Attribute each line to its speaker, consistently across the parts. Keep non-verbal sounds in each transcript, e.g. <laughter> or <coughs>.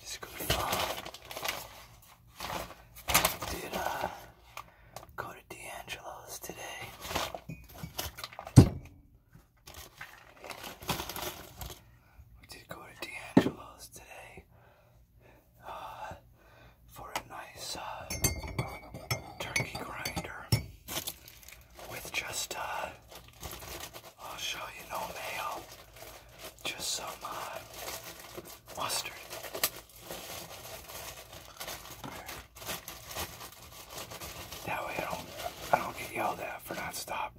Speaker 1: Disculpa. Did uh, go to D'Angelo's today. We did go to D'Angelo's today uh, for a nice uh, turkey grinder with just, uh, I'll show you no mayo, just some uh, mustard. That way I don't, I don't get yelled at for not stopping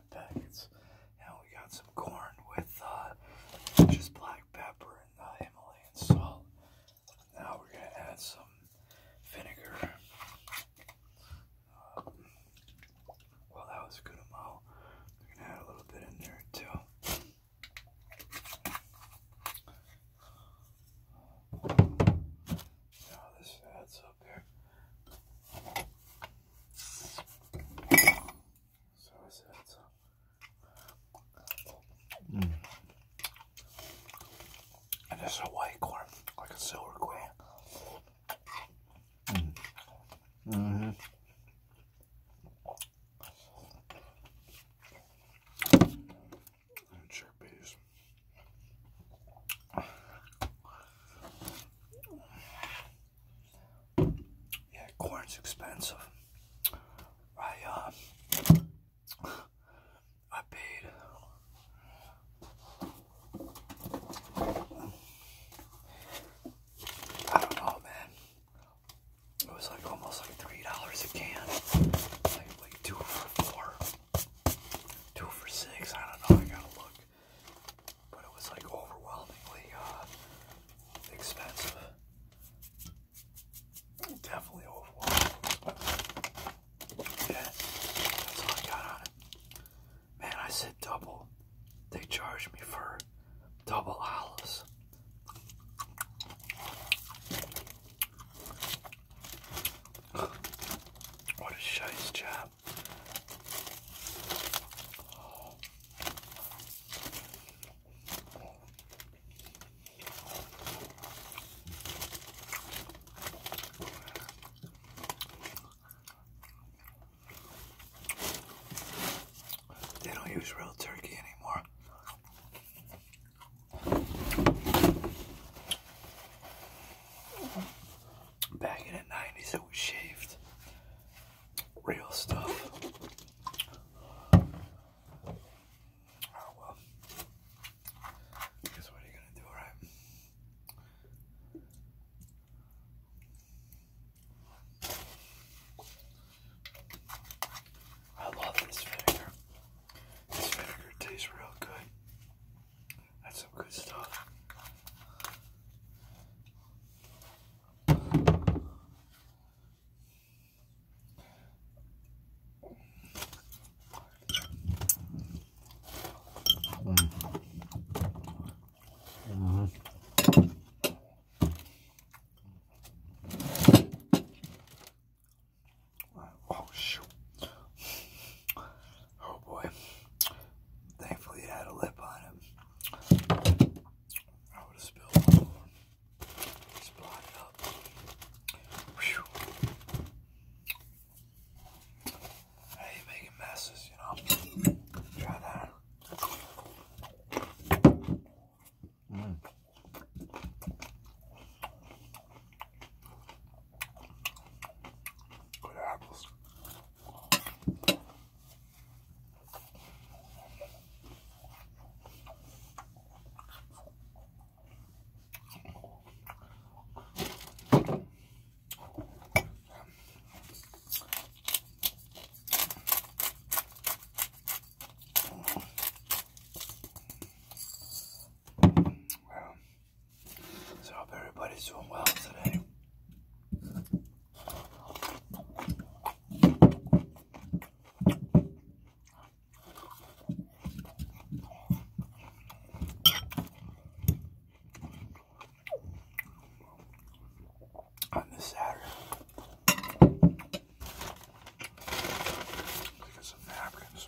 Speaker 1: five we got some corn with uh, just black pepper and uh, Himalayan salt. Now we're going to add some vinegar. Um, well, that was a good amount. We're going to add a little bit in there too. Now this adds so I said so. Mm. And this a white corn, like a silver queen. Mm. Mm-hmm. Mm -hmm. And chickpeas. Yeah, corn's expensive. I uh, I paid. I don't know, man. It was like almost like three dollars a can, like two for four, two for six. I don't know. I gotta look but it was like overwhelmingly uh, expensive. Definitely overwhelming. Yeah, that's all I got on it. Man, I said double. They charged me for double Alice. What a shite job. They don't use real turkey anymore back in the 90s it was shaved. Real stuff. Oh well. Guess what are you gonna do, right? I love this vinegar. This vinegar tastes real good. That's some good stuff. Mm-hmm. Oh shoot. Oh boy. Thankfully it had a lip on it. I would have spilled I hate making messes, you know. Try that. Mm. Good apples. Well, so I hope everybody's doing well today. On this Saturday, because of napkins.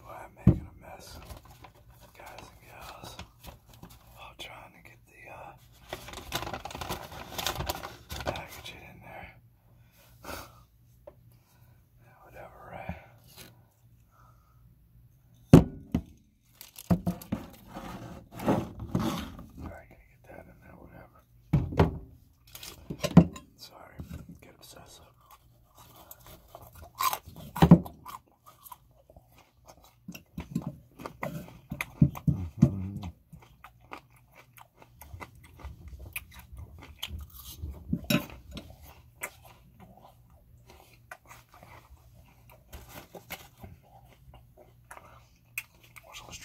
Speaker 1: Boy, I'm making a mess, guys and gals, while trying to get the uh, package in there. <laughs> whatever, right? Alright, gotta get that in there, whatever. Sorry, get obsessive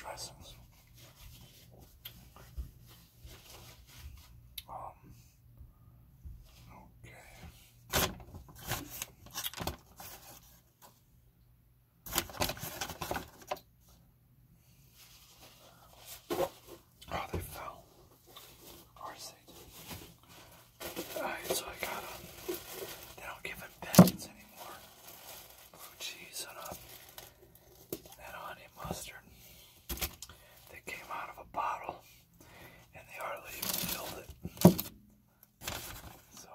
Speaker 1: dressings. Um, Oh, they fell. Alright, so I got them. They don't give them pens anymore. Blue cheese and a, honey mustard. They came out of a bottle and they hardly even filled it. So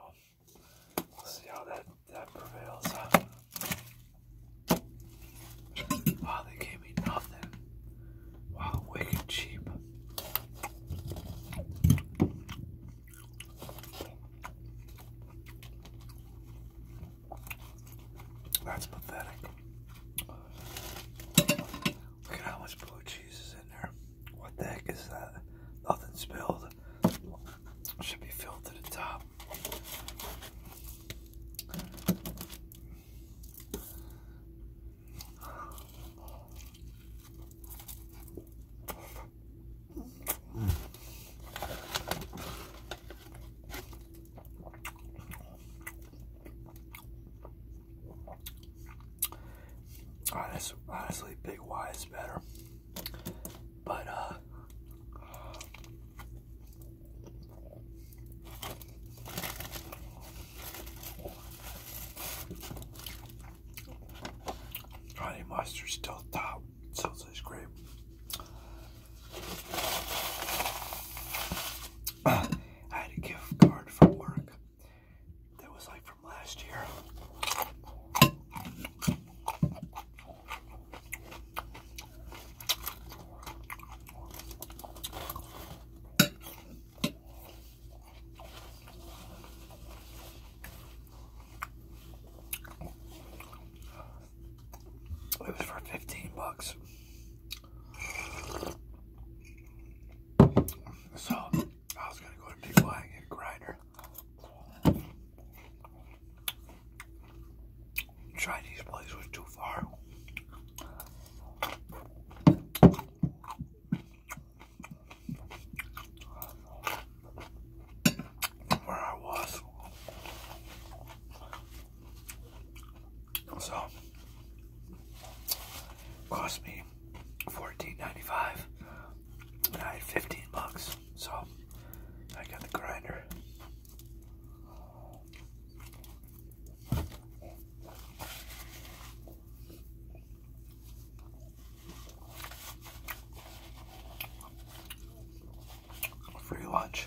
Speaker 1: we'll see how that, prevails. Wow, they gave me nothing. Wow, wicked cheap. That's pathetic. Look at how much blue cheese is in there. What the heck is that? Nothing spilled. Should be filled to the top. Oh, ah, Honest, honestly, Big Y is better. But, uh, honey mustard's still top, so it's great. <coughs> I had a gift card from work that was like from last year. It was for 15 bucks. So I was gonna go to Big Y and grinder. Chinese place was too far. where I was. So cost me $14.95 and I had 15 bucks. So I got the grinder. Free lunch.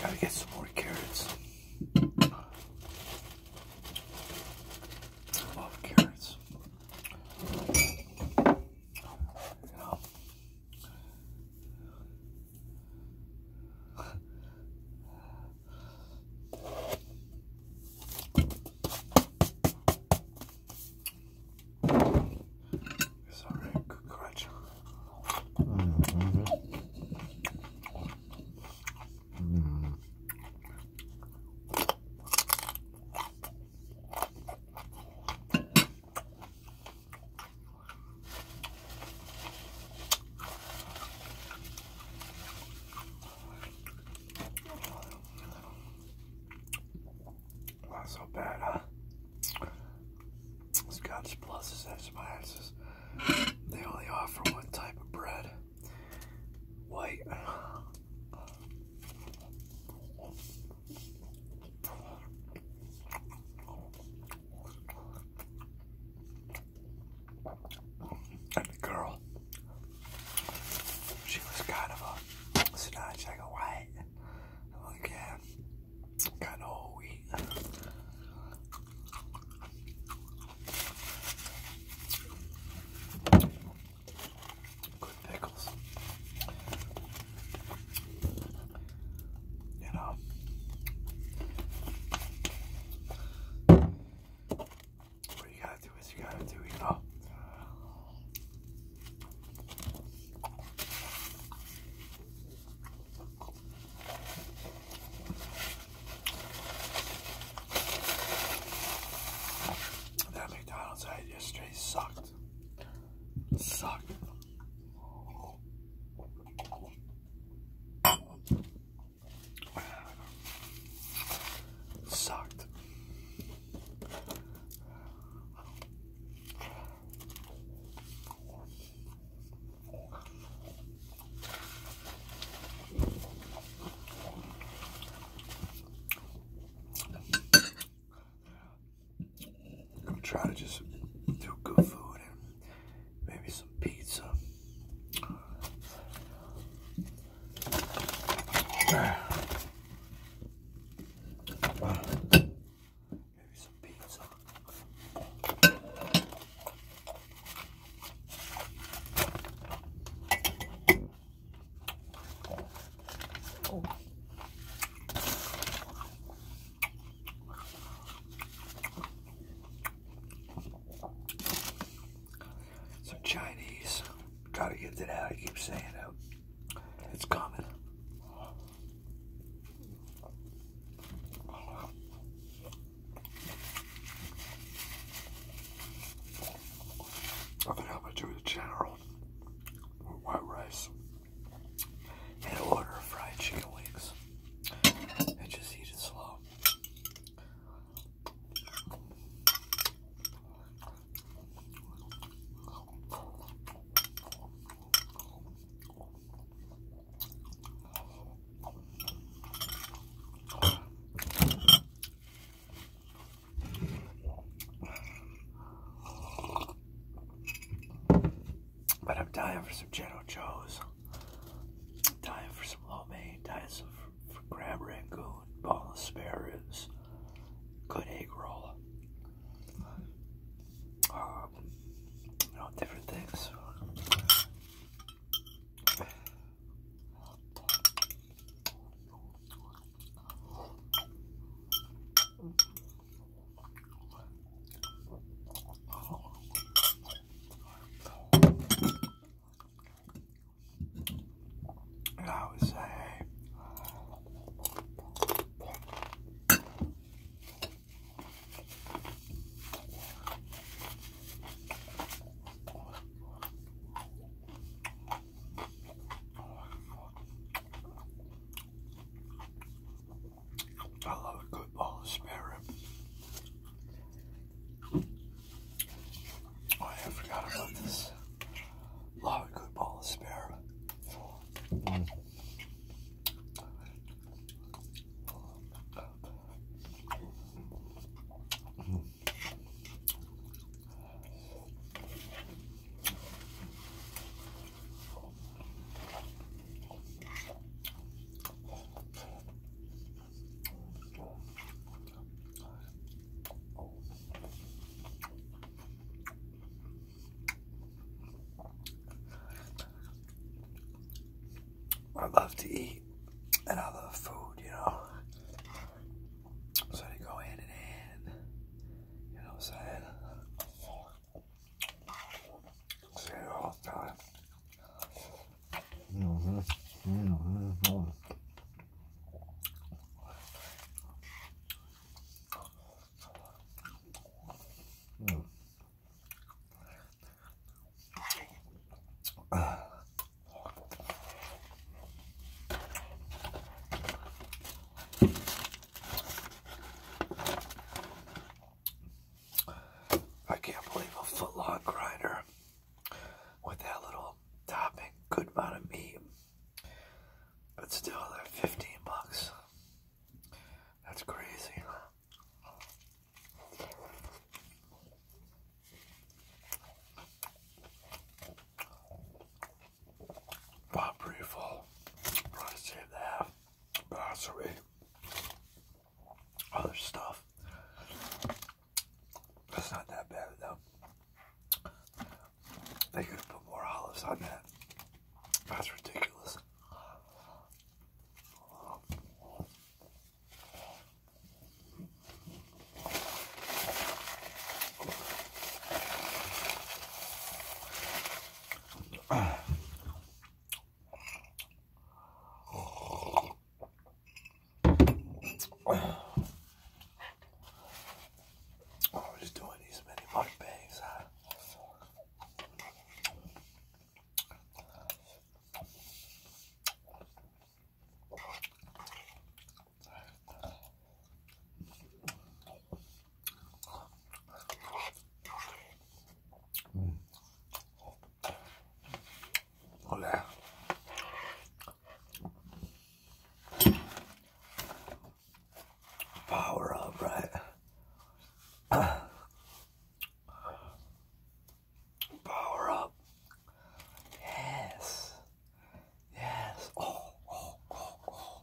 Speaker 1: Gotta get some more carrots. love carrots. It's a really good crutch. Mm -hmm. mm. Not so bad, huh? Scotch Plus is Spices. They only offer one type of bread. White. And the girl, she was kind of a snatch, like a white. Look at got whole wheat. Good pickles. You know. What you gotta do is you gotta do, you know. That McDonald's I had yesterday sucked. Sucked. Sucked. I'm trying to just do good food and maybe some pizza. <sighs> some pizza. Some Chinese. Try to get that out. I keep saying it. It's coming. I think I'm to do the general white rice and order fried chicken wings and just eat it slow. But I'm dying for some Jello Joe's. Dying for some lo mein, dying for, for crab rangoon, boneless spare ribs, good egg roll um, oh, different things. I would say I love a good bowl of spare rib. Oh, I forgot about this. Love a good ball of spare. I love to eat and I love food, you know. So they go hand in hand. You know what I'm saying? say all time. Mm -hmm. Mm -hmm. I can't believe a footlong grinder with that little topping, good amount of meat. But still, they're 15 bucks. That's crazy. Bought pretty save the half. Grocery. Other stuff. That's not that bad though. They could have put more olives on that. That's ridiculous. I oh, was doing these many mukbangs, huh? Mm. Hola power up, right? <clears throat> power up. Yes. Yes. Oh, oh, oh, oh.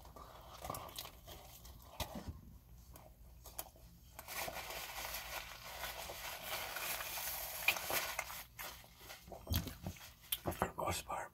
Speaker 1: For the most part.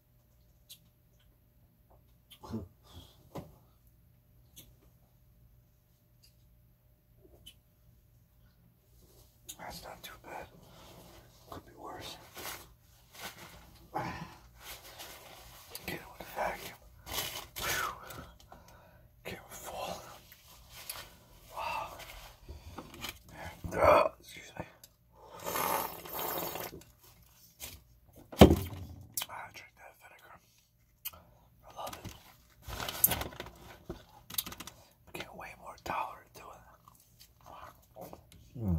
Speaker 1: That's not too bad. Could be worse. Get with a vacuum. Whew. Wow. excuse me. Ah, I drink that vinegar. I love it. i can't wait more tolerant to it. Mm.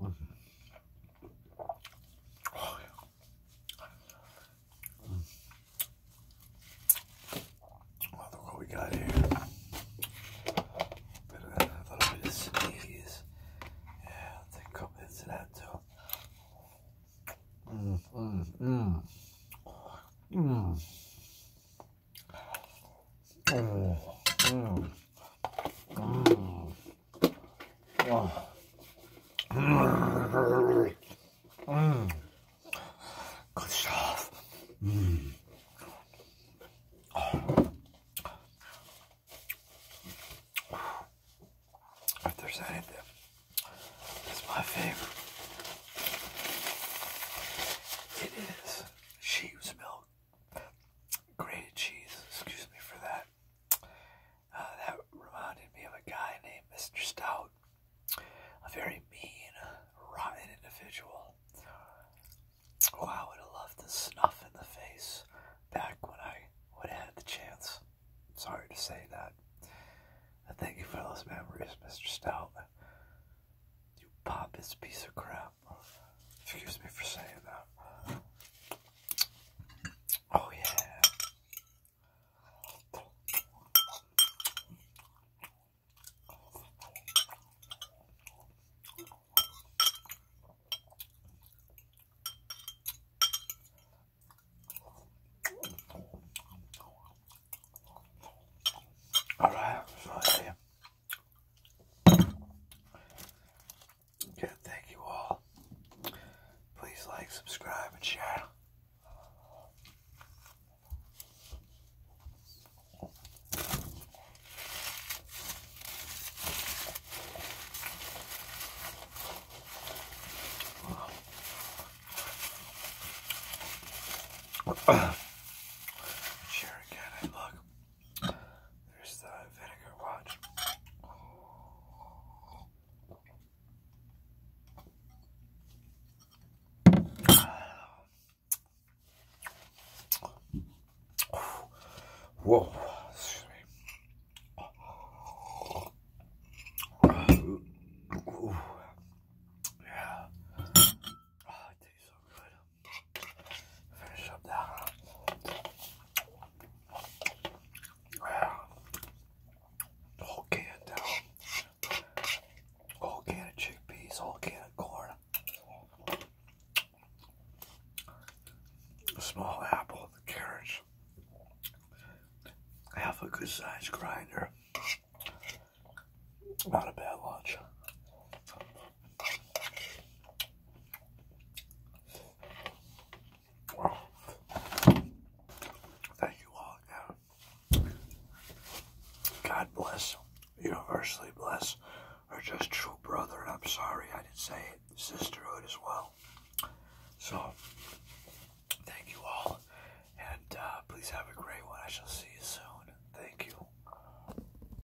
Speaker 1: Oh, mm. look what we got here. Bit a little bit of sneeze. Yeah, take a couple bits of that too. Mm, mm, mm. Mm. Oh, Mm. Good stuff. Mm. If there's anything, it's my favorite. It is sheep's milk grated cheese. Excuse me for that. Uh, that reminded me of a guy named Mr. Stout, a very mean, rotten individual. Oh, I would have loved to snuff in the face back when I would have had the chance. Sorry to say that. I thank you for those memories, Mr. Stout. You pompous piece of crap. Excuse me for saying that. Oh, yeah. All right, Okay, thank you all. Please like, subscribe, and share. Sure, <coughs> again, look. There's the vinegar watch. Whoa, Yeah. Ah, Finish up that. Uh, whole can down. Whole can of chickpeas, whole can of corn. A small apple, the carrots. Half a good sized grinder. Not a bad lunch. Thank you all God bless, universally bless, our just true brother, and I'm sorry I didn't say it, sisterhood as well. So, thank you all, and uh, please have a great one. I shall see you soon. Thank you.